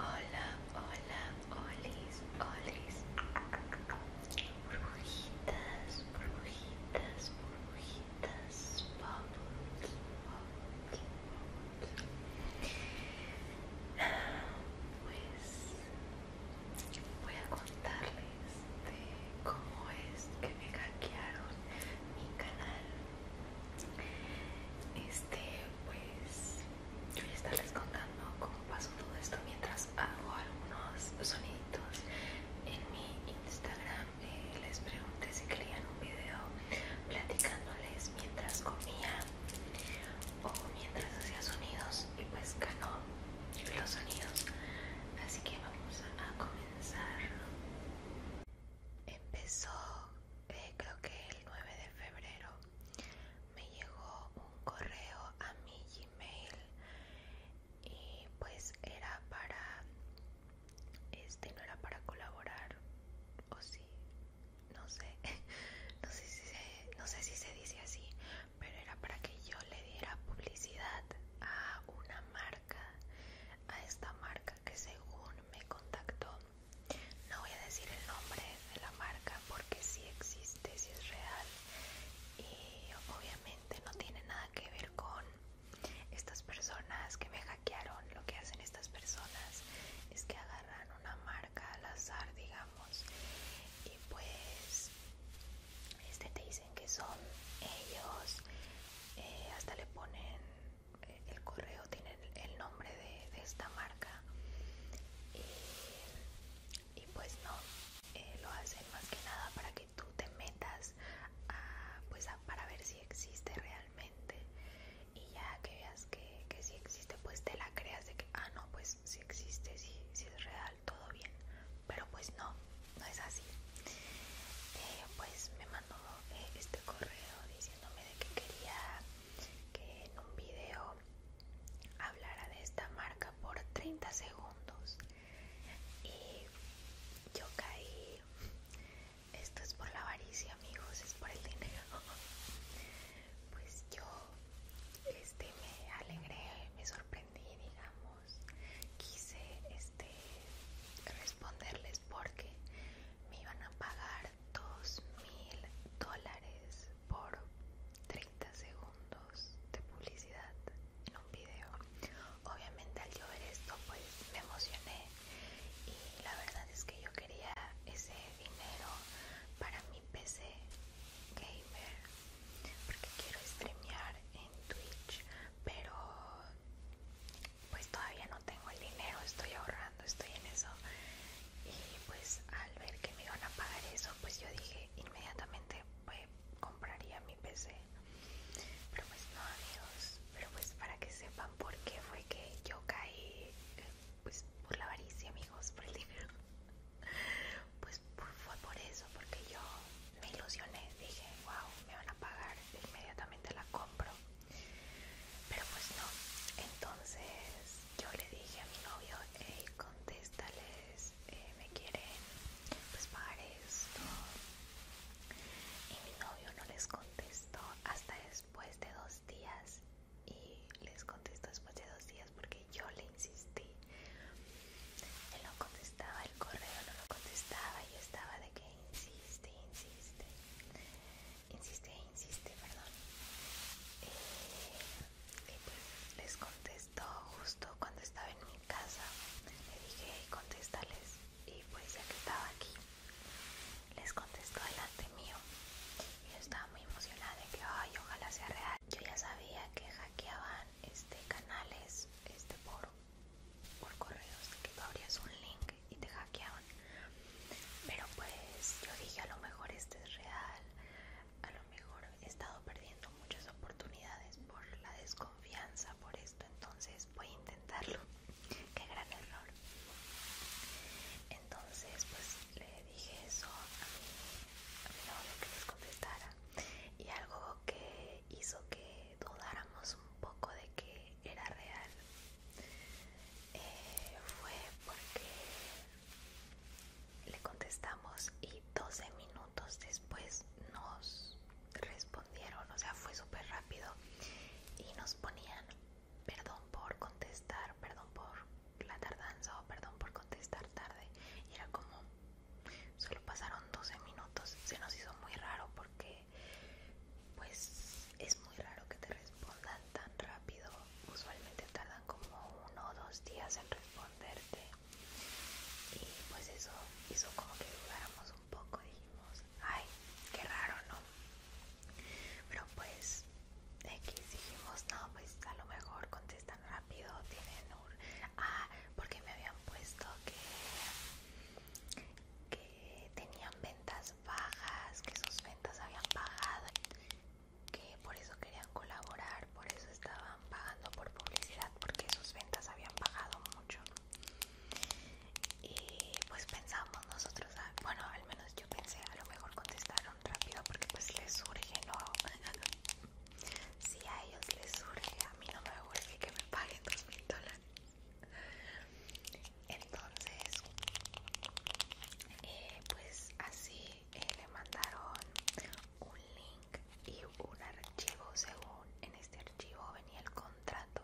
Hola, hola, olis, olis. Burbujitas, burbujitas, burbujitas. Bubbles, bubbles, bubbles. Ah, pues voy a contarles este, cómo es que me hackearon mi canal. Este, pues yo voy a estarles contando cómo pasó todo esto mientras hago algunos soniditos en mi Instagram. Eh, les pregunté si querían un video platicándoles mientras comía o mientras hacía sonidos y pues ganó los sonidos. Así que vamos a comenzar Empezó, eh, creo que el 9 de febrero, me llegó un correo a mi Gmail y pues era para, este no era para colaborar, o sí, no sé, no sé si se dice así, pero era para que yo le diera publicidad a una marca a esta marca que según me contactó. No voy a decir el nombre de la marca porque si existe, si es real y obviamente no tiene nada que ver con estas personas que me hackearon. Lo que hacen estas personas es que agarran una marca al azar, digamos, y pues pues, este te dicen que son ellos eh, hasta le ponen eh, el correo tienen el nombre de, esta marca eh, y, pues no lo hacen más que nada para que tú te metas pues para ver si existe realmente y ya que veas que, que si existe pues te la creas de que ah no pues si existe sí si es real todo bien. Pero pues no, no es así. Eh, pues me mandó eh, este correo diciéndome de que quería que en un video hablara de esta marca por 30 segundos. Y yo caí. Esto es por la avaricia, amigos, es por el dinero. Pues yo este, me alegré, me sorprendí y digamos, quise este, responderles porque me iban a pagar dos mil dólares por 30 segundos de publicidad en un video. Obviamente al yo ver esto pues me emocioné y la verdad es que yo quería ese dinero para mi PC gamer porque quiero streamear en Twitch, pero pues todavía no tengo el dinero, estoy ahorrando, estoy en eso. Y pues al ver que me iban a pagar eso, pues yo dije inmediatamente pues, compraría mi PC. Pero pues no amigos, pero pues para que sepan por qué fue que yo caí, eh, pues por la avaricia amigos, por el dinero pues fue por eso, porque yo me ilusioné, dije, wow, me van a pagar, inmediatamente la compro. Pero pues no, entonces yo le dije a mi novio, hey, contéstales, eh, me quieren pues pagar esto. Y mi novio no les contestó hasta después de dos días y les contestó después de dos días porque yo le insistí él no contestaba el correo, no lo contestaba y estaba de que insiste, insiste, insiste, insiste, perdón. Eh, y pues les contestó justo cuando estaba en mi casa. Le dije, contéstales. Y pues ya que estaba aquí, les contestó delante mío. Y yo estaba muy emocionada de que, ay, ojalá sea real. Yo ya sabía que hackeaban este canales este poro por correos que tú abrías un link y te hackeaban pero pues yo dije a lo mejor este es real a lo mejor he estado perdiendo muchas oportunidades por la desconfianza por esto entonces voy a intentarlo qué gran error entonces pues le dije eso a mi, a mi novio que les contestara y algo que hizo que dudáramos un poco de que era real eh, fue porque le contestamos y 12 minutos después nos respondieron o sea fue súper rápido y nos ponían perdón por contestar perdón por la tardanza o perdón por contestar tarde y era como Solo pasaron 12 minutos. Se nos hizo muy raro porque pues es muy raro que te respondan tan rápido. Usualmente tardan como uno o dos días en responderte. Y pues eso hizo como que dudáramos un poco. Dijimos, ay, qué raro, ¿no? Pero pues X dijimos, no, pues a lo mejor contestan rápido, tienen un Ah, porque me habían puesto que, tenían ventas bajas, que sus ventas habían bajado, que por eso querían colaborar, por eso estaban pagando por publicidad, porque sus ventas habían bajado mucho. Y pues pensamos nosotros, ah, bueno, al menos yo pensé, a lo mejor contestaron rápido porque pues les surge, ¿no? Si a ellos les surge, a mí no me urge que me paguen 2000 mil dólares. Entonces, eh, pues así eh, le mandaron un link y un archivo. Según en este archivo venía el contrato,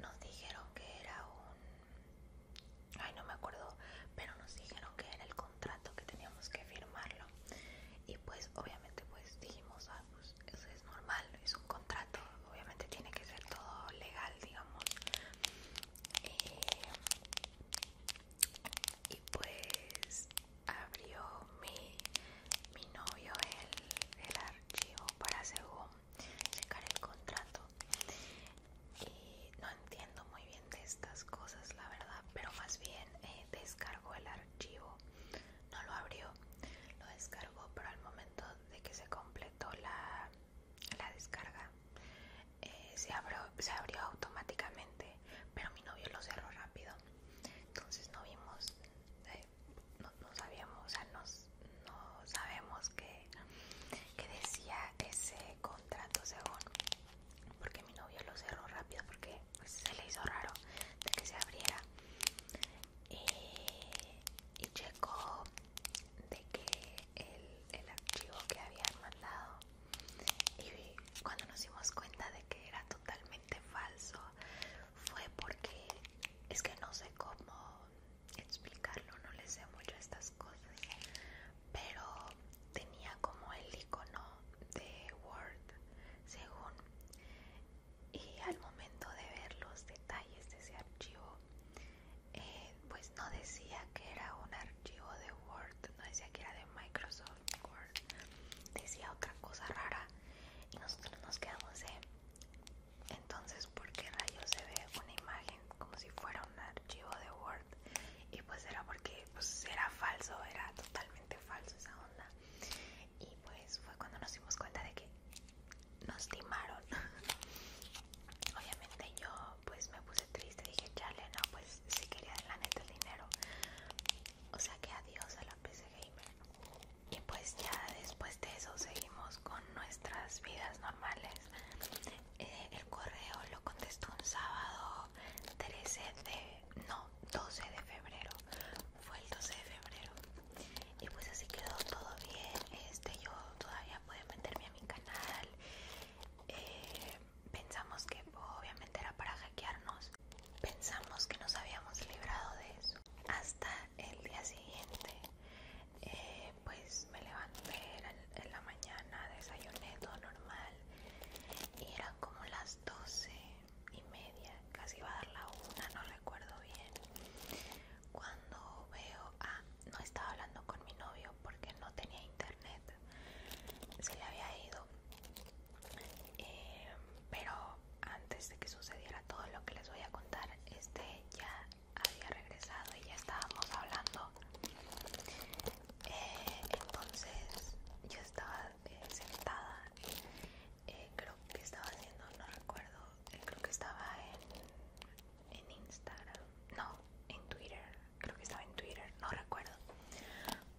nos dijeron que era un. Ay, no me acuerdo, pero nos dijeron que era el contrato contrato que teníamos que firmarlo y pues obviamente pues dijimos ah, pues eso es normal es un contrato obviamente tiene que ser todo legal digamos eh, y pues abrió mi, novio el, archivo para un el contrato y no entiendo muy bien de estas cosas la verdad pero más bien descargo eh, descargó el archivo archivo. No lo abrió, lo descargó, pero al momento de que se completó la, descarga, eh, se, abrió, se abrió automáticamente, pero mi novio lo cerró rápido. Entonces no vimos, eh, no, sabíamos, o sea, no sabemos qué que decía ese contrato según porque mi novio lo cerró rápido porque pues, se le hizo raro de que se abriera eh, y llegó de que el, el archivo que habían mandado y cuando nos dimos cuenta de que era totalmente falso fue porque es que no sé cómo explicarlo no le sé mucho a estas cosas pero tenía como el icono de Word según y al momento de ver los detalles de ese archivo eh, pues no decía que era un archivo de Word no decía que era de Microsoft Word decía otra cosa rara y nosotros nos quedamos de entonces por qué rayos se ve una imagen como si fuera un archivo de Word y pues era porque pues era falso, era totalmente falso esa onda. Y pues fue cuando nos dimos cuenta de que nos timaron. Obviamente yo pues me puse triste, dije, chale, no, pues si quería la neta el dinero. O sea que adiós a la PC Gamer. Y pues ya después de eso seguimos con nuestras vidas normales. Eh, el correo lo contestó un sábado 13 de... no, 12 de febrero fue el 12 de febrero y pues así quedó todo bien este yo todavía pude meterme a mi canal eh, pensamos que obviamente era para hackearnos pensamos que nos habíamos librado de eso hasta el día siguiente eh, pues me levanté en la mañana desayuné todo normal y era como las doce y media, casi va a dar la una, no recuerdo bien. Cuando veo, ah, no estaba hablando con mi novio porque no tenía internet, se le había ido. Eh, pero antes de que sucediera todo lo que les voy a contar, este ya había regresado y ya estábamos hablando. Eh, entonces yo estaba sentada. Eh, creo que estaba haciendo, no recuerdo, eh, creo que estaba en, Instagram, no, en Twitter, creo que estaba en Twitter, no recuerdo.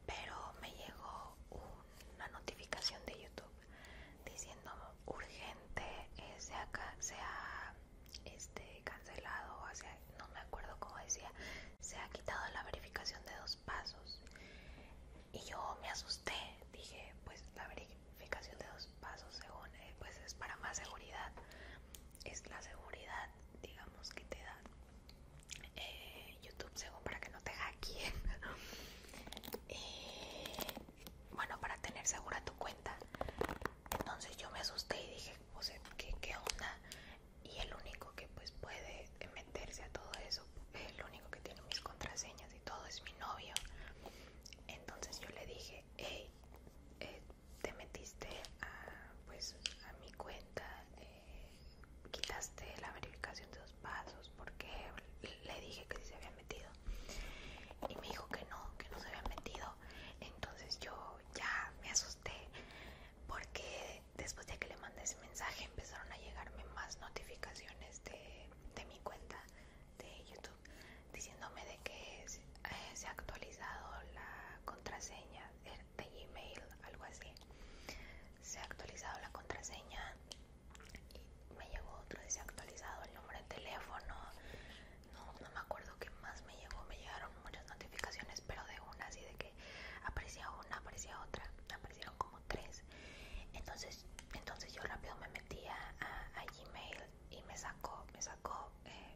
Pero me llegó una notificación de YouTube diciendo urgente, sea eh, se este, cancelado, no me acuerdo cómo decía, se ha quitado la verificación de dos pasos. Y yo me asusté, dije, pues la verificación de dos pasos, según, eh, pues es para más seguridad, es la seguridad, digamos, que te da eh, YouTube, según para que no te hackeen. Eh, bueno, para tener segura tu cuenta. Entonces yo me asusté y dije, pues, ¿qué, qué onda? y el único que pues puede meterse a todo eso, el único que tiene mis contraseñas y todo es mi novio. Entonces yo le dije, hey, eh, te metiste a, pues, mi cuenta, eh, quitaste la verificación de dos pasos, porque le dije que sí se había metido. Y me dijo que no, que no se había metido. Entonces yo ya me asusté porque después de que le mandé ese mensaje empezaron a llegarme más notificaciones de, mi cuenta de YouTube diciéndome de que se eh, ha actualizado la contraseña de Gmail, algo así. Se ha actualizado la contraseña y me llegó otro de se ha actualizado el nombre de teléfono. No, me acuerdo qué más me llegó, me llegaron muchas notificaciones, pero de una y de que aparecía una, aparecía otra, aparecieron como tres. Entonces, entonces yo rápido me metí a, Gmail y me sacó, me sacó, eh,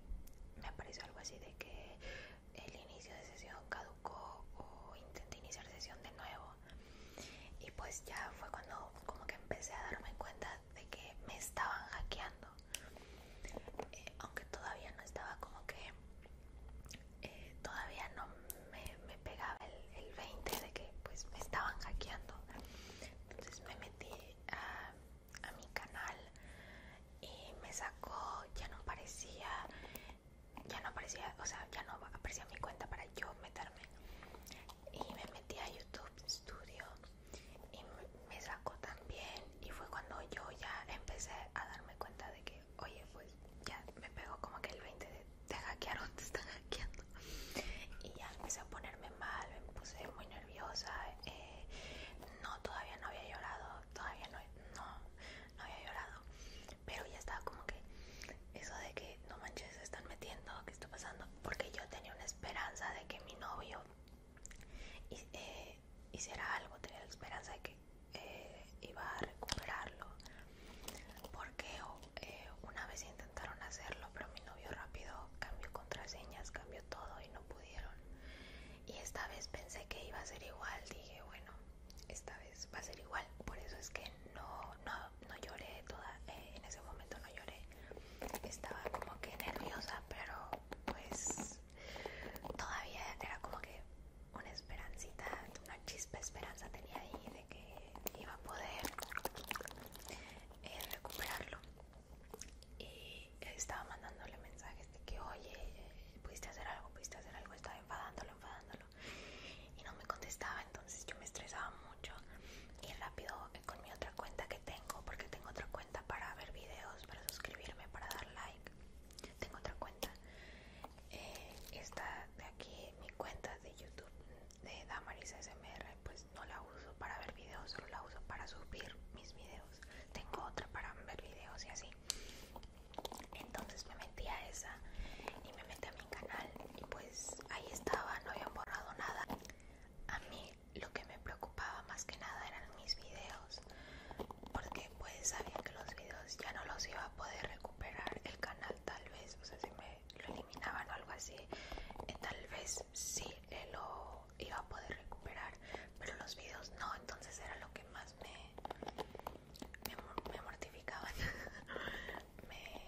me apareció algo así de que el inicio de sesión caducó o intenté iniciar sesión de nuevo. Y pues ya fue cuando como que empecé a darme cuenta de que me estaban hackeando. Eh, aunque todavía no estaba como que eh, todavía no me, pegaba el, 20 de que pues me estaban hackeando entonces me metí a, mi canal y me sacó ya no aparecía ya no parecía o sea ya no aparecía mi cuenta para yo meterme y me metí a youtube studio y me sacó también y fue cuando yo ya empecé a darme cuenta de que oye, pues ya me pegó como que el 20 de te hackearon, te están hackeando. Y ya empecé a ponerme mal, me puse muy nerviosa. Eh, no, todavía no había llorado, todavía no, no, había llorado. Pero ya estaba como que eso de que no manches, se están metiendo, ¿qué está pasando? Porque yo tenía una esperanza de que mi novio eh, hiciera algo, tenía la esperanza de que eh, iba a recuperarlo. Porque oh, eh, una vez intentaron hacerlo, pero mi novio rápido cambió contraseñas, cambió todo y no pudieron. Y esta vez pensé que iba a ser igual, dije, bueno, esta vez va a ser igual. Por eso es que no, no, no lloré eh, en ese momento no lloré. Estaba como que nerviosa, pero pues todavía era como que una esperancita, una chispa de esperanza tenía ahí de que iba a poder eh, recuperarlo. Y estaba mandándole mensajes de que, oye, pudiste hacer algo, pudiste hacer algo, estaba enfadándolo, enfadándolo. Y no me contestaba, entonces yo me estresaba mucho. Y rápido eh, con mi otra cuenta que tengo, porque tengo otra cuenta para ver videos, para suscribirme, para dar like tengo otra cuenta eh, esta de aquí mi cuenta de youtube de damaris smr pues no la uso para ver videos solo la uso para subir mis videos tengo otra para ver videos y así entonces me metí a esa y me metí a mi canal y pues ahí estaba no había borrado nada a mí lo que me preocupaba más que nada eran mis videos porque pues sabía que los videos ya no los iba a poder recuperar el canal tal vez, o sea, si me lo eliminaban o algo así, eh, tal vez sí eh, lo iba a poder recuperar, pero los videos no, entonces era lo que más me, me, me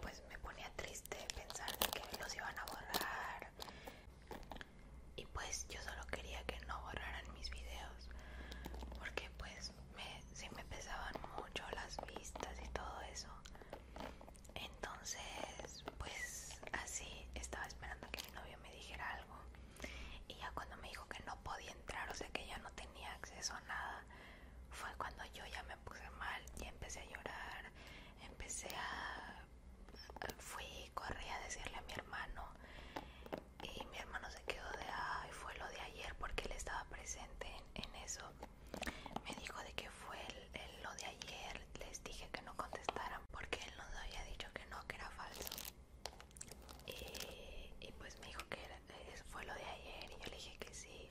pues me ponía triste pensar que los iban a borrar y pues yo solo quería que no borraran mis videos porque pues me, me pesaban mucho las vistas y todo eso entonces pues así estaba esperando que mi novio me dijera algo y ya cuando me dijo que no podía entrar o sea que ya no tenía acceso a nada fue cuando yo ya me puse mal y empecé a llorar empecé a fui corrí a decirle a mi hermano y mi hermano se quedó de ay fue lo de ayer porque él estaba presente en, eso me dijo de que fue el, lo de ayer les dije que no contestaran porque él nos había dicho que no que era falso y, pues me dijo que fue lo de ayer y yo le dije que sí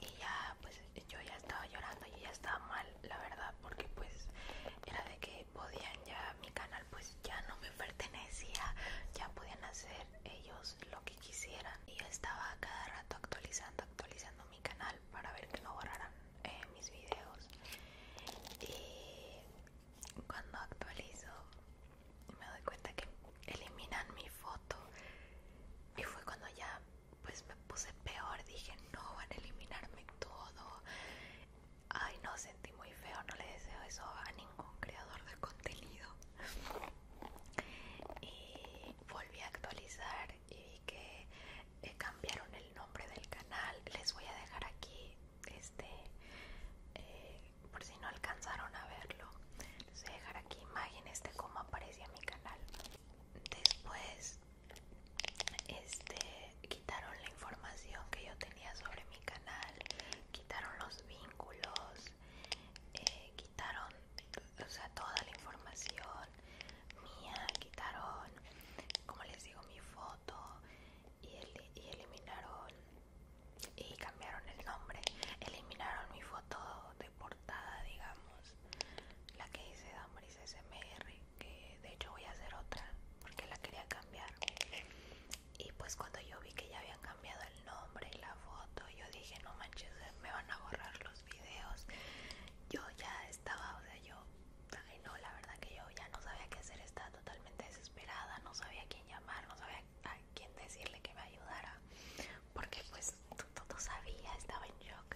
y ya pues yo ya estaba llorando y ya estaba mal la verdad porque pues era de que podían ya, mi canal pues ya no me pertenecía, ya podían hacer ellos lo que quisieran y yo estaba cada rato actualizando, actualizando mi canal para ver que no borraran eh, mis videos y cuando actualizo me doy cuenta que eliminan mi foto y fue cuando ya pues me puse peor, dije no van a eliminarme todo Ay, no, sentí muy feo, no le deseo eso a ningún creador de contenido. y volví a actualizar y vi que eh, cambiaron el nombre del canal. Les voy a dejar aquí, este, eh, por si no alcanzaron a verlo, les voy a dejar aquí imágenes de cómo aparecía mi canal. Después, este quitaron la información que yo tenía sobre mi canal, quitaron los vínculos, eh, quitaron, o sea, toda la información mía, quitaron, como les digo, mi foto y, eliminaron y cambiaron el nombre, eliminaron mi foto de portada, digamos, la que hice Damaris SMR que de hecho voy a hacer otra porque la quería cambiar y pues cuando yo vi que ya habían cambiado el nombre y la foto yo dije no manches eh, me van a borrar los videos yo ya estaba o sea yo no la verdad que yo ya no sabía qué hacer estaba totalmente desesperada no sabía a quién llamar no sabía a quién decirle que me ayudara porque pues todo sabía estaba en shock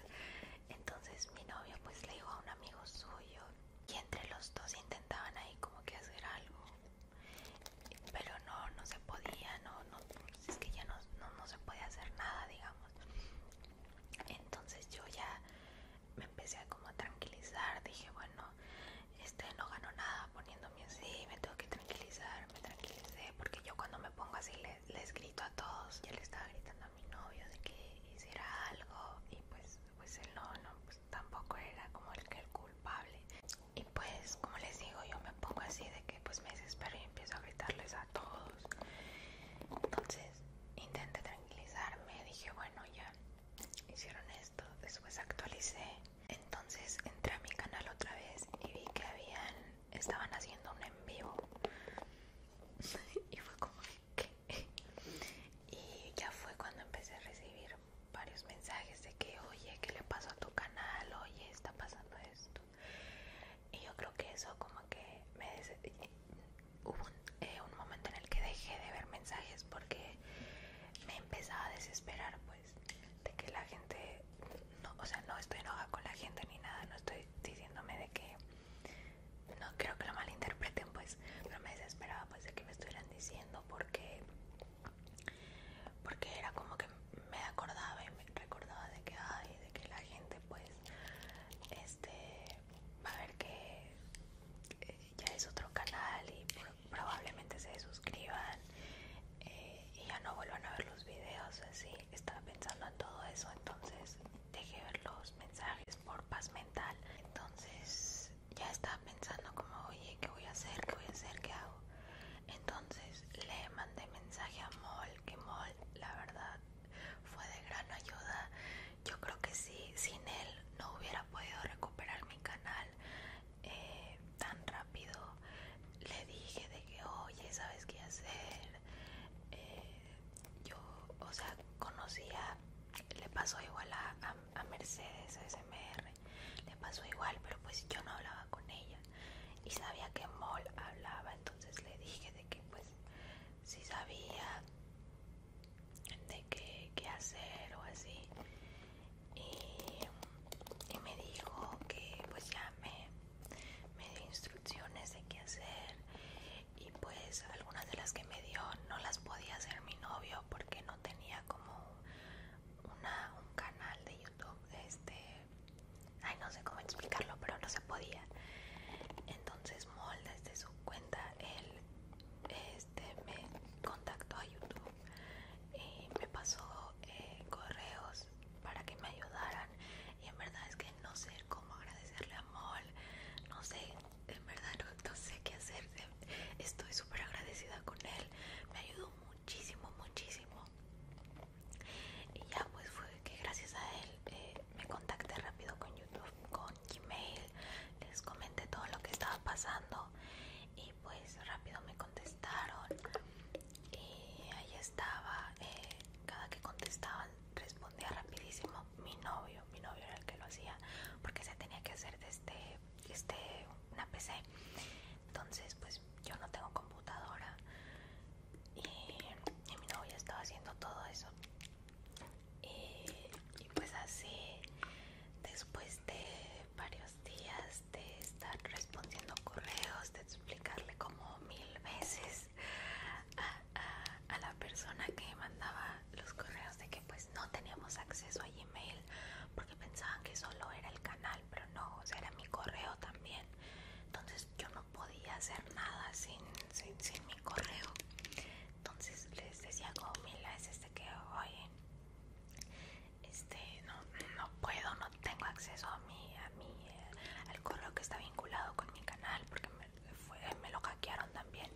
entonces mi novio pues le dijo a un amigo suyo y entre los dos intentaban ahí como que hacer algo pero no no se podía no no es que ya no, se podía hacer nada digamos entonces yo ya me empecé a como tranquilizar dije bueno este no ganó nada poniéndome así me tengo que tranquilizar me tranquilicé porque yo cuando me pongo así les, grito a todos ya le estaba gritando a mi novio de que hiciera algo y pues pues él no no pues tampoco era como el que el culpable y pues como les digo yo me pongo así de que pues me desespero y empiezo a gritarles a todos entonces intenté tranquilizarme dije bueno ya hicieron esto después actualicé entonces entré a mi canal otra vez y vi que habían estaban haciendo un en vivo y fue como y ya fue cuando empecé a recibir varios mensajes de que oye qué le pasó a tu canal oye está pasando esto y yo creo que eso como que me hubo eh, un, momento en el que dejé de ver mensajes porque me empezaba a desesperar pues de que la gente no, o sea no estoy enojada con la gente ni nada no estoy diciéndome de que no creo que lo malinterpreten pues pero me desesperaba pues de que me estuvieran diciendo porque porque era como que me acordaba y me recordaba de que hay de que la gente pues este va a ver que eh, ya es otro canal y probablemente se suscriban eh, y ya no vuelvan a ver los videos así estaba pensando en todo eso entonces dejé ver los mensajes por paz mental. Entonces ya estaba pensando como, oye, ¿qué voy a hacer? ¿Qué voy a hacer? ¿Qué hago? Entonces le mandé mensaje a Mol, que Mol, la verdad, fue de gran ayuda. Yo creo que sí, sin él no hubiera podido recuperar mi canal eh, tan rápido. Le dije de que, oye, ¿sabes qué hacer? Eh, yo, o sea, conocía, le pasó igual a, Mercedes SMR, le pasó igual, pero pues yo no hablaba con ella y sabía que Mol hablaba, entonces le dije de que pues si sabía de qué, hacer o así y, me dijo que pues ya me, me dio instrucciones de qué hacer y pues algunas de las que me dio no las podía hacer mi novio porque no tenía como una, un canal de YouTube, este, ay no sé cómo explicarlo, pero no se podía. Entonces Mol desde su cuenta él este, me contactó a YouTube y me pasó eh, correos para que me ayudaran y en verdad es que no sé cómo agradecerle a Mol, no sé, en verdad no, sé qué hacer. Em, estoy súper agradecida con él. Me ayudó muchísimo, muchísimo. Y ya pues fue que gracias a él eh, me contacté rápido con YouTube, con Gmail. Les comenté todo lo que estaba pasando y pues rápido me contestaron. Y ahí estaba. Eh, cada que contestaban respondía rapidísimo mi novio, mi novio era el que lo hacía porque se tenía que hacer desde este, este, una PC. Entonces, pues yo no tengo computadora y, mi novio estaba haciendo todo eso. Y, pues así, después de varios días de estar respondiendo correos, de explicarle como mil veces a, la persona que mandaba los correos de que pues no teníamos acceso a Gmail porque pensaban que solo era el canal, pero no, o sea, era mi correo también. Entonces yo no podía hacer nada sin, sin, mi correo. Entonces les decía como Mila, es este que, oye, este, no, no puedo, no tengo acceso a mi, a mi, eh, al correo que está vinculado con mi canal porque me, me lo hackearon también.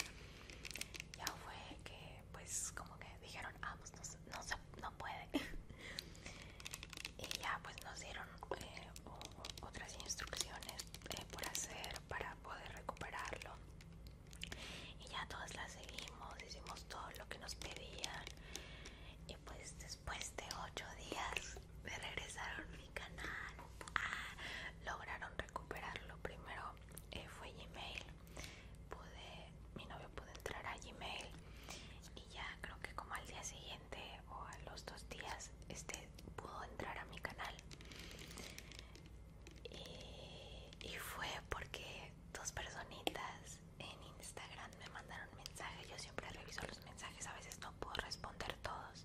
Ya fue que, pues, como que dijeron, ah, pues no, se, no puede. y ya, pues nos dieron eh, otras instrucciones eh, por hacer para poder recuperarlo. Y ya todas las seguimos, hicimos todo lo que nos pedían. Y pues después de ocho días me regresaron canal ah, lograron recuperarlo primero eh, fue Gmail pude mi novio pudo entrar a Gmail y ya creo que como al día siguiente o a los dos días este pudo entrar a mi canal y, y fue porque dos personitas en Instagram me mandaron mensajes yo siempre reviso los mensajes a veces no puedo responder todos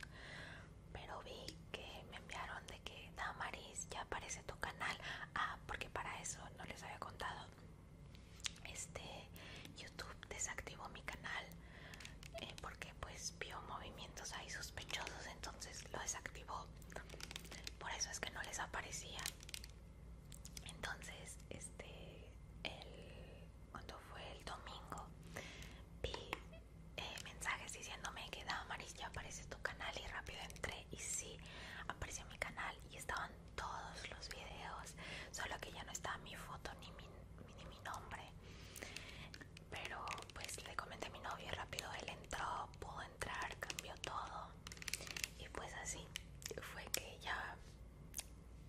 pero vi que me enviaron de que Damaris ya aparece tu canal. Ah, porque para eso no les había contado. Este YouTube desactivó mi canal eh, porque pues vio movimientos ahí sospechosos, entonces lo desactivó. Por eso es que no les aparecía. Entonces, este, el, cuando fue el domingo, vi eh, mensajes diciéndome que da Maris ya aparece tu canal y rápido entré y sí apareció mi canal y estaban todos los videos solo que ya no estaba mi foto ni mi, ni mi nombre pero pues le comenté a mi novio y rápido él entró pudo entrar cambió todo y pues así fue que ya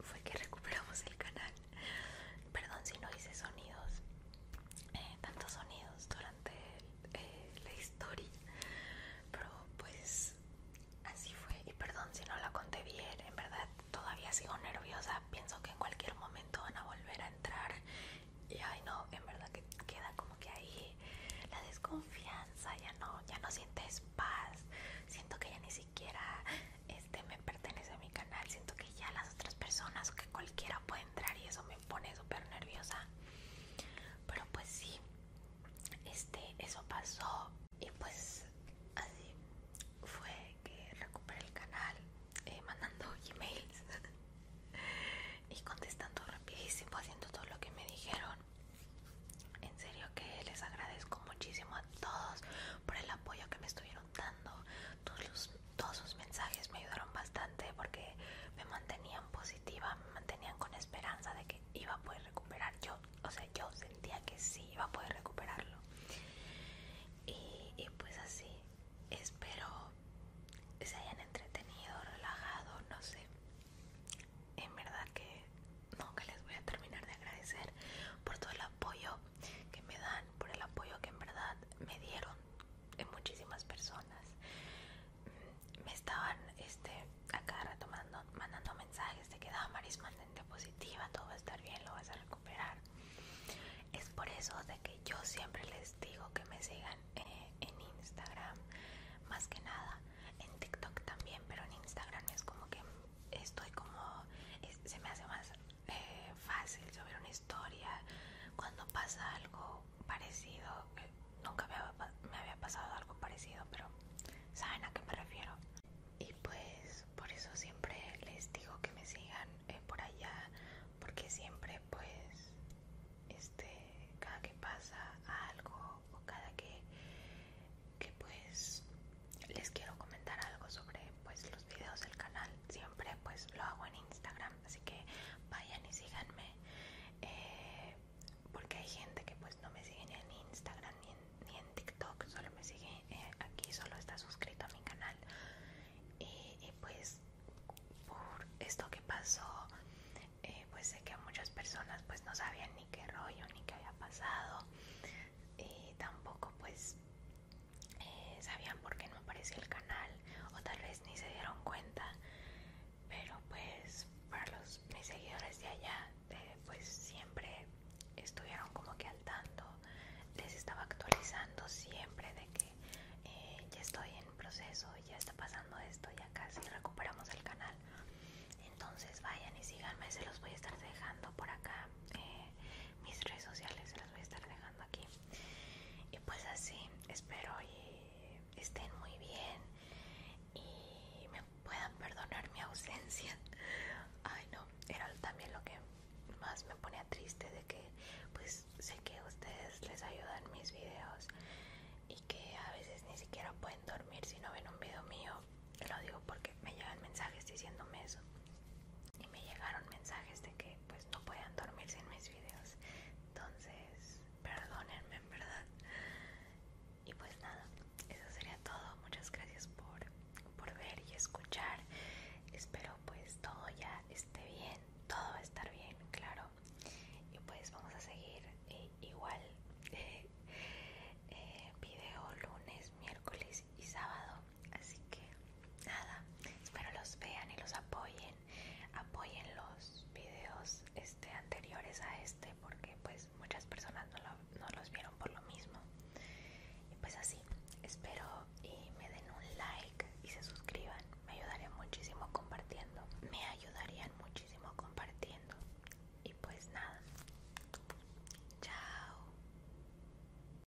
fue que recuperamos el canal perdón si no hice sonidos eh, tantos sonidos durante eh, la historia pero pues así fue y perdón si no la conté bien en verdad todavía sigo nerviosa pienso que en cualquier momento van a volver a entrar y ay no en verdad que queda como que ahí la desconfianza ya no ya no sientes paz siento que ya ni siquiera este me pertenece a mi canal siento que ya las otras personas que cualquiera puede entrar y eso me pone súper nerviosa. Pero pues sí, este, eso pasó y pues así fue que recuperé el canal eh, mandando emails y contestando rapidísimo, haciendo todo lo que me dijeron. En serio que les agradezco muchísimo a todos por el apoyo que me estuvieron dando, todos, los, todos sus mensajes me ayudaron bastante porque me mantenían positiva, me mantenían con esperanza de que iba a poder recuperar. Yo, o sea, yo sentía que sí iba a poder recuperarlo. Y, pues así, espero que se hayan entretenido, relajado, no sé. En verdad que nunca les voy a terminar de agradecer por todo el apoyo, que me dan, por el apoyo que en verdad me dieron en muchísimas personas. Mm, me estaban este, acá retomando, mandando mensajes te que marisma ah, Maris mantente positiva, todo va a estar bien, lo vas a recuperar. Es por eso de que yo siempre les digo que me sigan eh, en Instagram, más que nada, en TikTok también, pero en Instagram es como que estoy como, se me hace más eh, fácil sobre una historia cuando pasa algo parecido. Eh, nunca me había, pasado algo parecido, pero saben a qué me refiero. Y pues por eso siempre les digo que me sigan eh, por allá, porque siempre pues este cada que pasa algo o cada que pues les quiero comentar algo sobre pues los videos del canal siempre pues lo hago en Instagram así que vayan y síganme eh, porque hay gente que pues no me sigue ni en Instagram ni en, TikTok solo me sigue eh, aquí solo está suscrito a mi canal y, pues por esto que pasó eh, pues sé que muchas personas pues no sabían ni qué rollo ni qué había pasado y tampoco pues eh, sabían por qué no aparecía el canal o tal vez ni se dieron cuenta pero pues para los mis seguidores de allá eh, pues siempre estuvieron como que al tanto les estaba actualizando siempre de que eh, ya estoy en proceso ya está pasando esto ya casi recuperamos el canal entonces vayan y síganme se los voy a estar dejando por acá mis redes sociales se las voy a estar dejando aquí y pues así, espero y estén muy bien y me puedan perdonar mi ausencia. Ay no, era también lo que más me ponía triste de que pues sé que ustedes les ayudan mis videos y que a veces ni siquiera pueden dormir si no ven un video mío. Lo digo porque me llegan mensajes diciéndome eso y me llegaron mensajes de que pues no podían dormir sin mis videos entonces perdónenme en verdad y pues nada eso sería todo muchas gracias por, por ver y escuchar espero pues todo ya esté bien todo va a estar bien claro y pues vamos a seguir eh, igual eh, video lunes miércoles y sábado Así que nada, espero los vean y los apoyen. Apoyen los videos este, anteriores a este porque pues muchas personas no, no los vieron por lo mismo. Y pues así, espero y me den un like y se suscriban. Me ayudarían muchísimo compartiendo. Me ayudarían muchísimo compartiendo. Y pues nada. Chao.